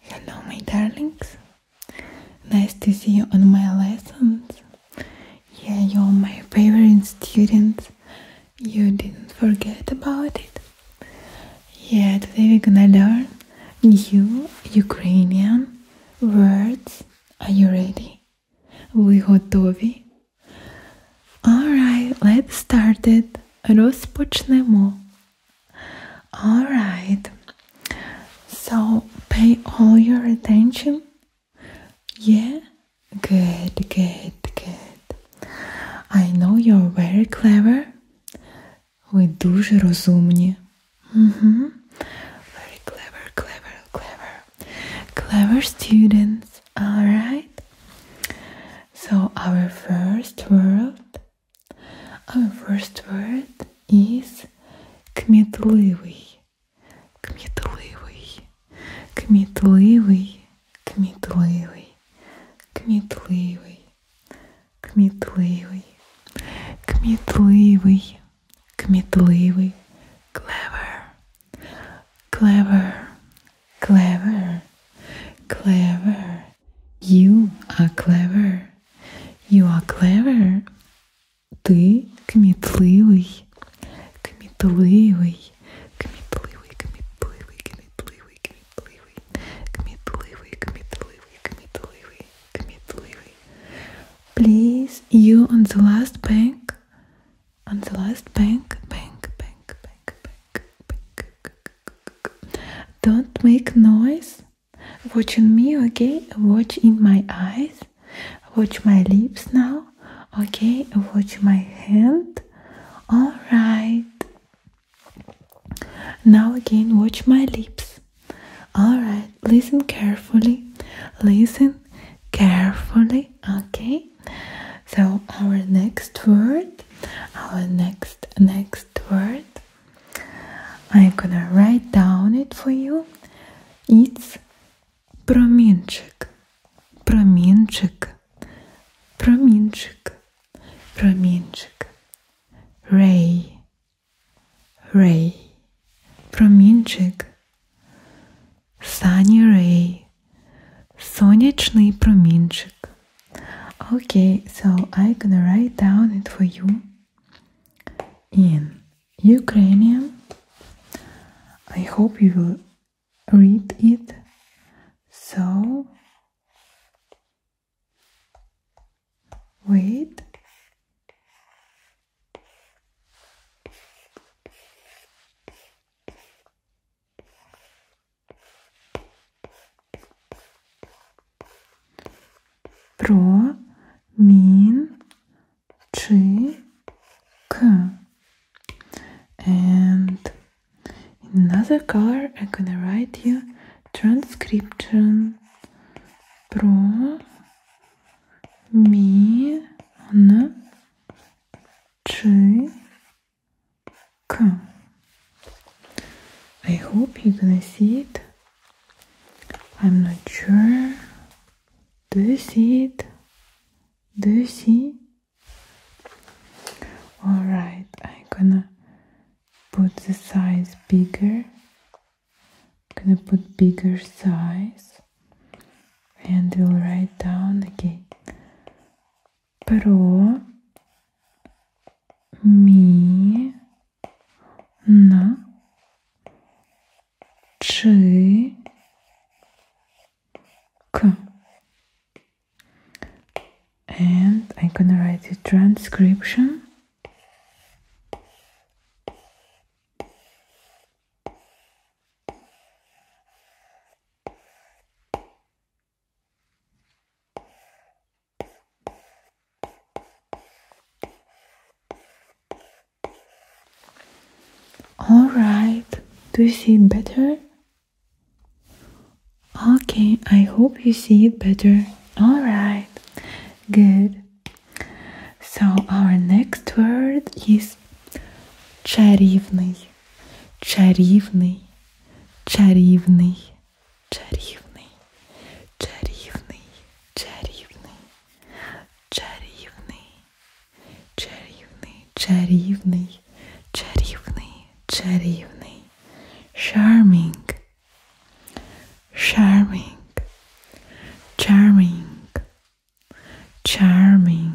Hello, my darlings. Nice to see you on my lessons. Yeah, you're my favorite students. You didn't forget about it. Yeah, today we're gonna learn new Ukrainian words. Are you ready? Ви готові? Alright, let's start it. Розпочнемо. All right. So pay all your attention. Yeah? Good, good, good. I know you're very clever. We дуже розумні. Mm-hmm. Very clever, clever, clever. Clever students. All right. So our first word our first word is кмітливий. Кмітливий. Кмітливий. Кмітливий. Кмітливий. Кмітливий. Кмітливий. Кмітливий. Clever. Clever. Clever. Clever. You are clever. You are clever. Ти кмітливий. Кмітливий. Кмітливий, кмітливий, кмітливий, кмітливий. Кмітливий, кмітливий, кмітливий, кмітливий. Please, you on the last bank. On the last bank, bank, bank, bank, bank, bank. Don't make noise watching me okay watch in my eyes watch my lips now okay watch my hand all right now again watch my lips all right listen carefully listen carefully okay so our next word our next next word I'm gonna write down it for you. It's промінчик, промінчик, промінчик, промінчик. Ray, Ray, промінчик. Sunny Ray, сонячний промінчик. Okay, so I'm gonna write down it for you in Ukrainian. I hope you will read it. So, wait. Pro мін чи к. And another color I'm gonna write you transcription про мін чи Come. I hope you're gonna see it. I'm not sure. Do you see it? Do you see? Alright, I'm gonna put the size bigger. gonna put bigger size and we'll write down again. Про mi, na, czy, And I'm gonna write the transcription. All right, do you see it better? Okay, I hope you see it better. All right, good. So, our next word is чарівний, чарівний, чарівний чарівний, чарівний, чарівний, чарівний, чарівний, чарівний, чарівний, чарівний, charming, charming, charming, charming,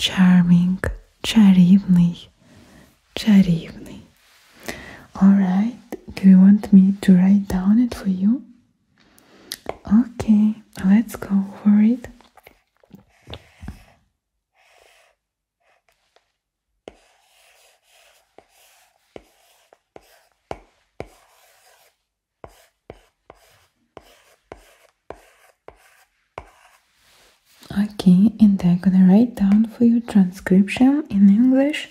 charming, чарівний чарівний. Alright, do you want me to write down it for you? Okay, let's go for it. Okay, and I'm gonna write down for your transcription in English.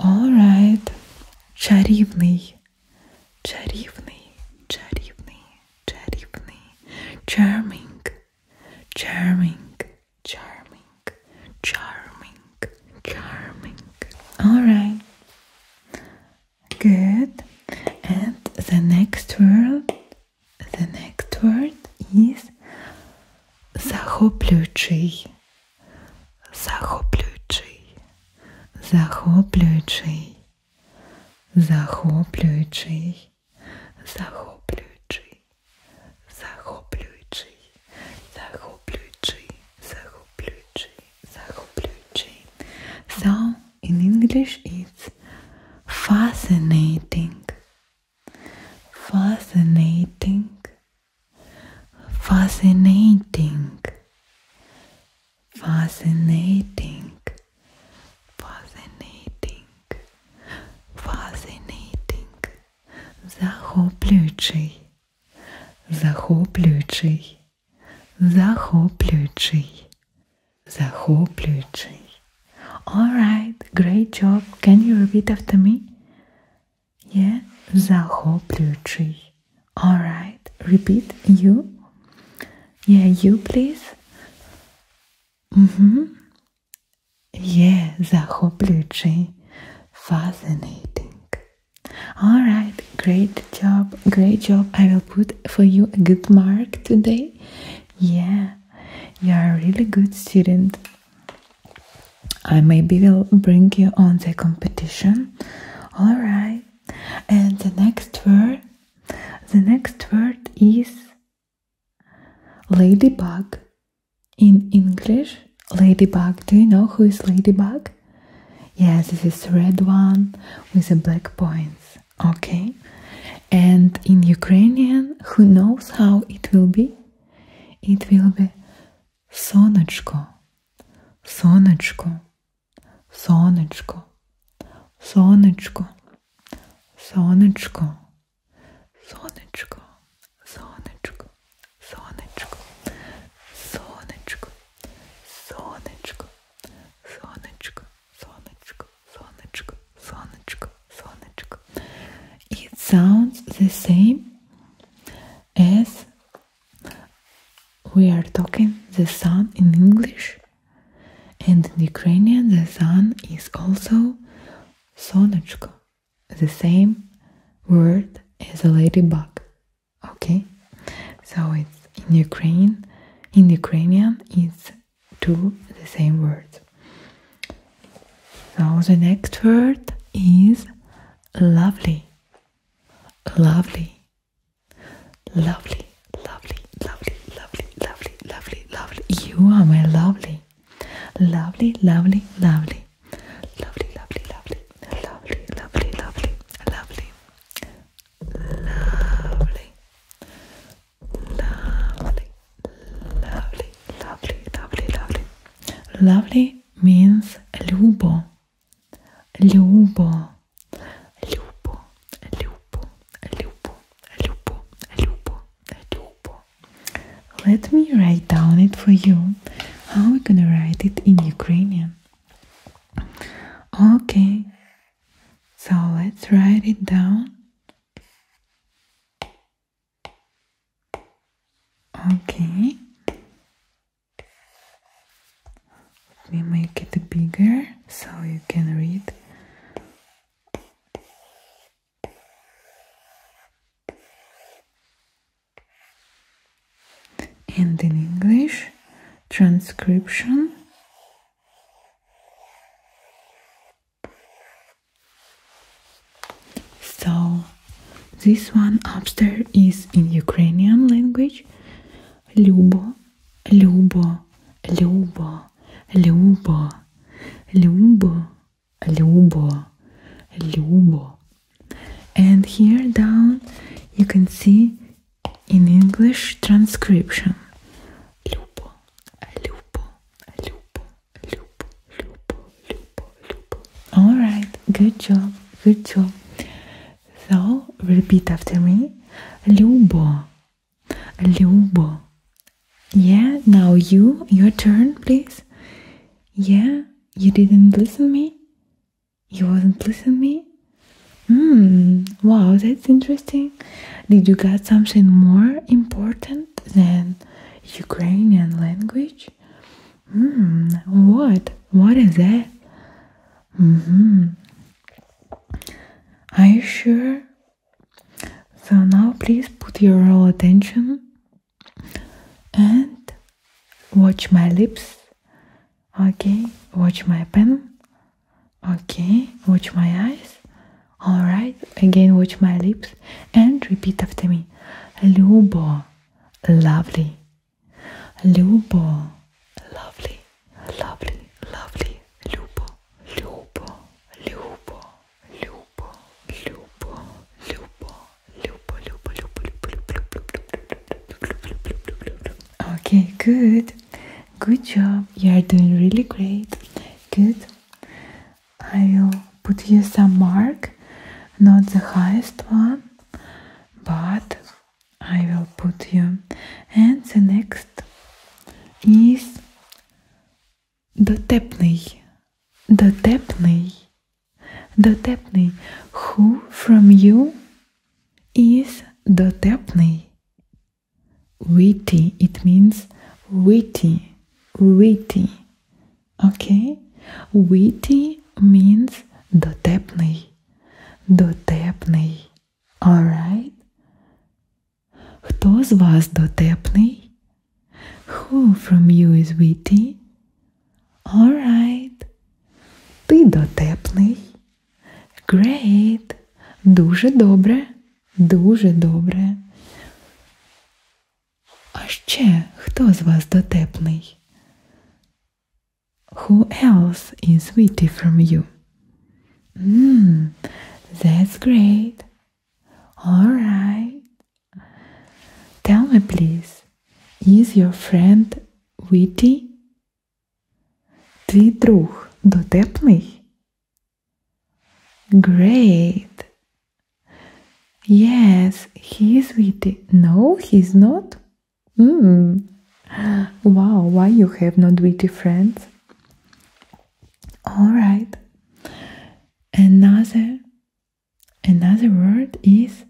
All right, чарівний, чарівний, чарівний, чарівний, charming. Charming, charming, charming, charming. All right. Good. And the next word, the next word is захоплюючий. Захоплюючий. Захоплюючий. Захоплюючий. So in English it's fascinating, fascinating, fascinating, fascinating. Fascinating, fascinating, захоплюючий, захоплюючий, захоплюючий, захоплюючий. Alright, great job. Can you repeat after me? Yeah, захоплюючий. Alright, repeat you. Yeah, you please. Угу. Є захоплюючий, fascinating. All right, great job, great job. I will put for you a good mark today. Yeah, you are a really good student. I maybe will bring you on the competition. All right. And the next word, the next word is Ladybug. In English, Ladybug. Do you know who is Ladybug? Yes, this is red one with the black points. Okay. And in Ukrainian, who knows how it will be? It will be Сонечко. Сонечко. Сонечко. Сонечко. Сонечко, сонечко, сонечко, сонечко, сонечко, сонечко, сонечко, сонечко, сонечко, сонечко, сонечко. It sounds the same as we are talking the sun in English and in Ukrainian, the sun is also sonochko, the same word as a ladybug. Okay, so it's in Ukraine, in Ukrainian, it's two the same words. Now the next word is lovely, lovely, lovely lovely, lovely, lovely, lovely, lovely, lovely. You are my lovely, lovely, lovely, lovely, lovely, lovely, lovely, lovely, lovely, lovely, lovely, lovely, lovely, lovely, lovely, lovely, lovely. Lovely means lubo, lubo, lubo, Любо, Любо, Любо, Любо, Любо. Let me write down it for you. How are we gonna write it in Ukrainian? Okay, so let's write it down. Okay, let me make it bigger so you can read and in English transcription so this one upstairs is in Ukrainian language Люbo Люbo Люbo Люbo Любо, Lubo, Lubo. And here down you can see in English transcription. Lubo, Lubo, Lubo, Lubo, Lubo, Lubo, Lubo. Alright, good job, good job. So repeat after me. Lubo, Lubo, Yeah, now you, your turn, please. Yeah, you didn't listen me? You wasn't listening me? Hmm, wow, that's interesting. Did you got something more important than Ukrainian language? Hmm, what? What is that? hmm. Are you sure? So now please put your all attention and watch my lips. Okay, watch my pen. Okay, watch my eyes. All right, again watch my lips and repeat after me. Люbo, lovely. Люbo, lovely, lovely, lovely, lupo, lupo, lupo, lupo, lupo, lupo, lupo, lupo, lupo, lupo, Okay, good. Good job. You are doing really great. Good. I will put here some mark, not the highest one, but I will put you. And the next is the the Дотепний, the дотепний. Who from you is the дотепний? Witty, it means witty, witty. Okay? Witty means the the дотепний. Alright? Хто з вас дотепний? Who from you is witty? Alright. Ти дотепний. Great. Дуже добре. Дуже добре. А ще хто з вас дотепний? Who else is witty from you? Hmm, that's great. All right. Tell me, please, is your friend witty? Твій друг дотепний? Great. Yes, he is witty. No, he's not. Hmm. Wow, why you have not witty friends? All right. Another another word is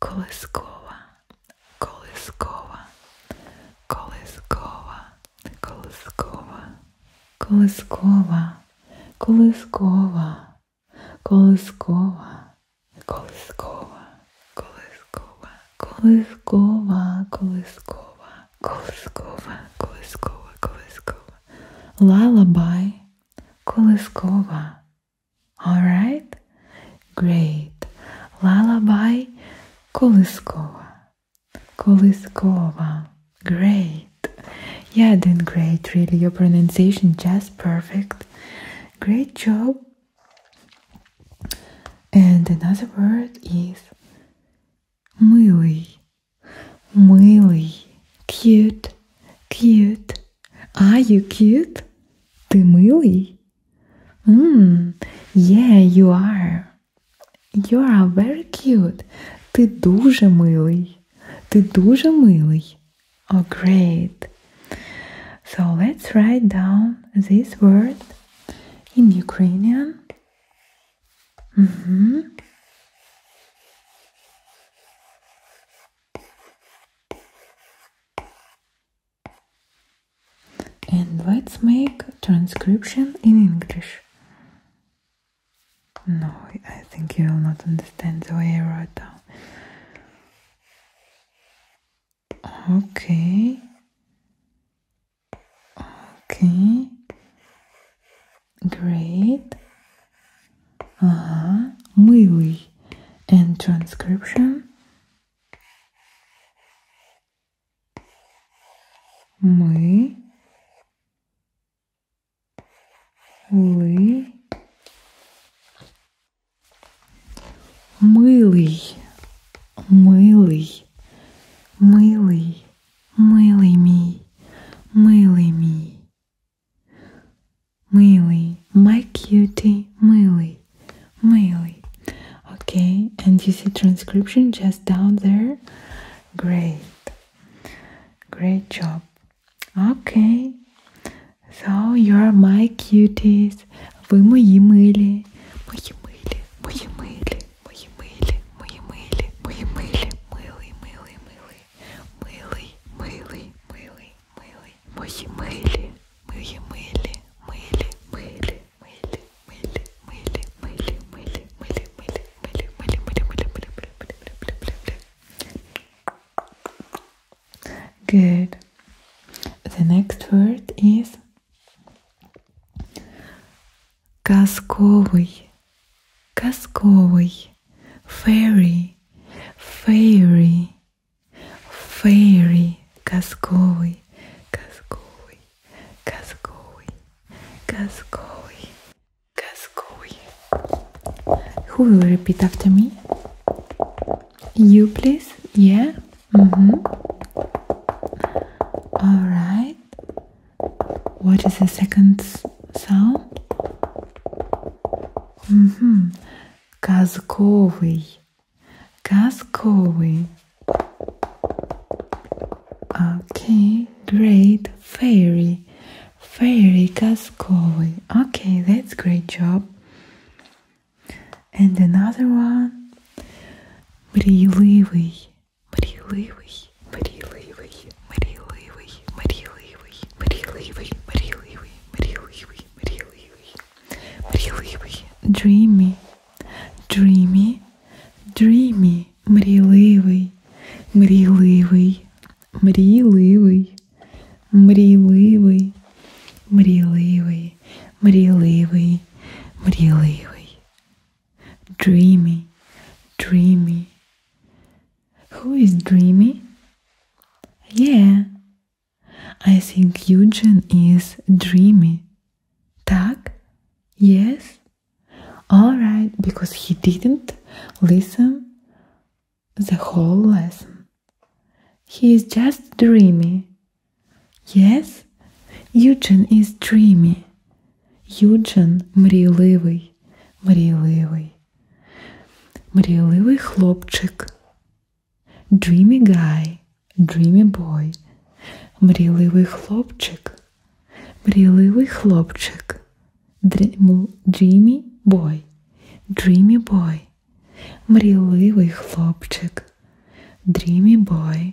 koleskova. Koleskova. Koleskova. Koleskova. Koleskova. Koleskova. Koleskova. Koleskova. Koleskova. Koleskova. Koleskova. Колискова, колискова, колискова. Lullaby, колискова. Alright? Great. Lullaby, колискова. Колискова. Great. Yeah, then great, really. Your pronunciation just perfect. Great job. And another word is Милий, милий, cute, cute. Are you cute? Ти милий? Mm, yeah, you are. You are very cute. Ти дуже милий. Ти дуже милий. Oh, great. So let's write down this word in Ukrainian. Mm-hmm. And let's make transcription in English. No, I think you will not understand the way I wrote down. Okay. Okay. Great. Uh -huh. And transcription. Ми. Ли. Милий. Милий милий me, милий мій. Милий, my cutie, Милый, Милый. Okay, and you see transcription just down there. Great, great job. Okay, so you are my cuties. Ви мої милі, мої милі, мої милі мої милі, мої милі, мої милі, милий, милий, милий, милий, милий, милий, милий, мої милі, мої милі, милі, милі, милі, милі, милі, милі, милі, милі, милі, милі, милі, милі, милі, милі, милі, милі, милі. Good. The next word is Казковий, казковий, fairy, fairy, fairy, казковий, казковий, казковий, казковий, казковий. Who will repeat after me? You please? Yeah? Mm-hmm. All right. What is the second sound? -hmm. Казковый. Казковый. Okay, great. Fairy. Fairy Казковый. Okay, that's great job. And another one. Брезливый. Маріливий, маріливий, маріливий, маріливий, маріливий, маріливий, маріливий, маріливий, маріливий, dreamy, dreamy, dreamy, мріливий, мріливий, мріливий, мріливий, мріливий, мріливий, мріливий dreamy, dreamy. Who is dreamy? Yeah, I think Eugen is dreamy. Так? Yes? Alright, because he didn't listen the whole lesson. He is just dreamy. Yes, Eugene is dreamy. Юджин мрійливий, мрійливий, мрійливий хлопчик. Dreamy guy, dreamy boy. Мрійливий хлопчик. Мрійливий хлопчик. Dreamy boy. Dreamy boy. Мрійливий хлопчик. Dreamy boy.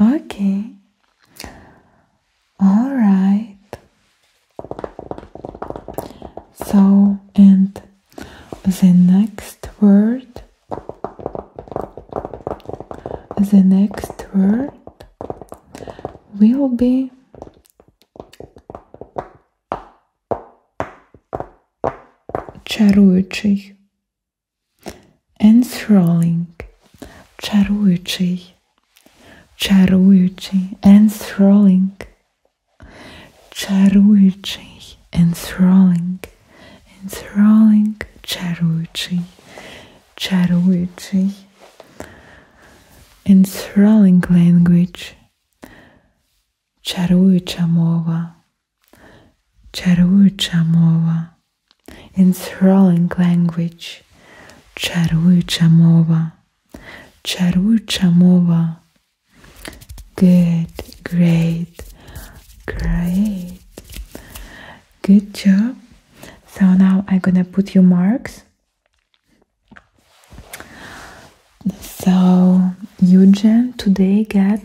Okay. All right. So, and the next word, the next word will be czarujący enthralling, czarujący, czarujący, enthralling, czarujący, enthralling, enthralling, czarujący, czarujący, enthralling language, czarująca mowa, Чаруюча мова. Enthralling language. Чаруюча мова. Чаруюча мова. Good, great, great. Good job. So now I'm gonna put your marks. So Eugen today get.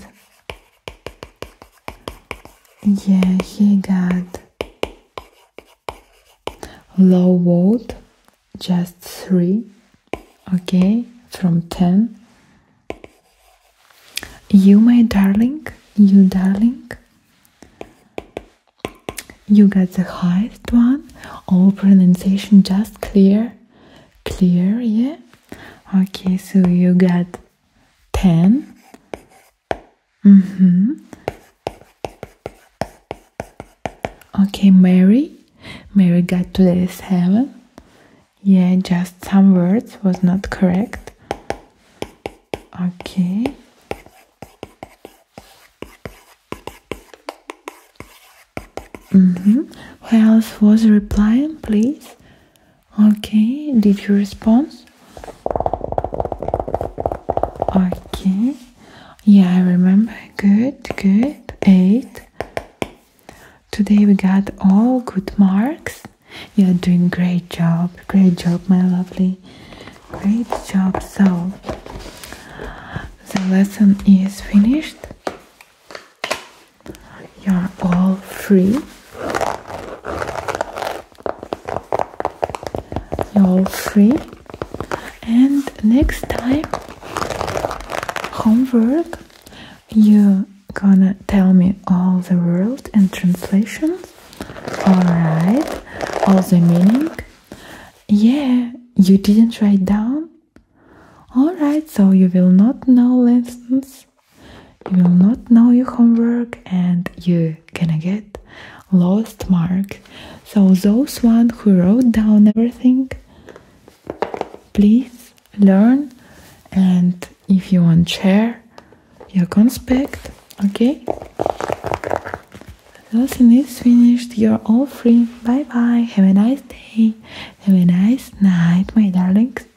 Yeah, he got low vote, just three, okay, from ten. You, my darling, you, darling, you got the highest one. All pronunciation just clear, clear, yeah. Okay, so you got 10 mm-hmm okay mary mary got to the seven yeah just some words was not correct okay mm-hmm who else was replying please Okay, did you respond? Okay, yeah, I remember. Good, good. Eight. Today we got all good marks. You're doing great job. Great job, my lovely. Great job. So the lesson is finished. You're all free. You're all free. And next time, homework, you're gonna tell me all the word and translations. Alright, all the meaning. Yeah, you didn't write down. Alright, so you will not know lessons you will not know your homework and you gonna get lost marks. So those one who wrote down everything, please learn and if you want share your conspect, okay? Lesson is finished. You're all free. Bye bye. Have a nice day. Have a nice night, my darlings.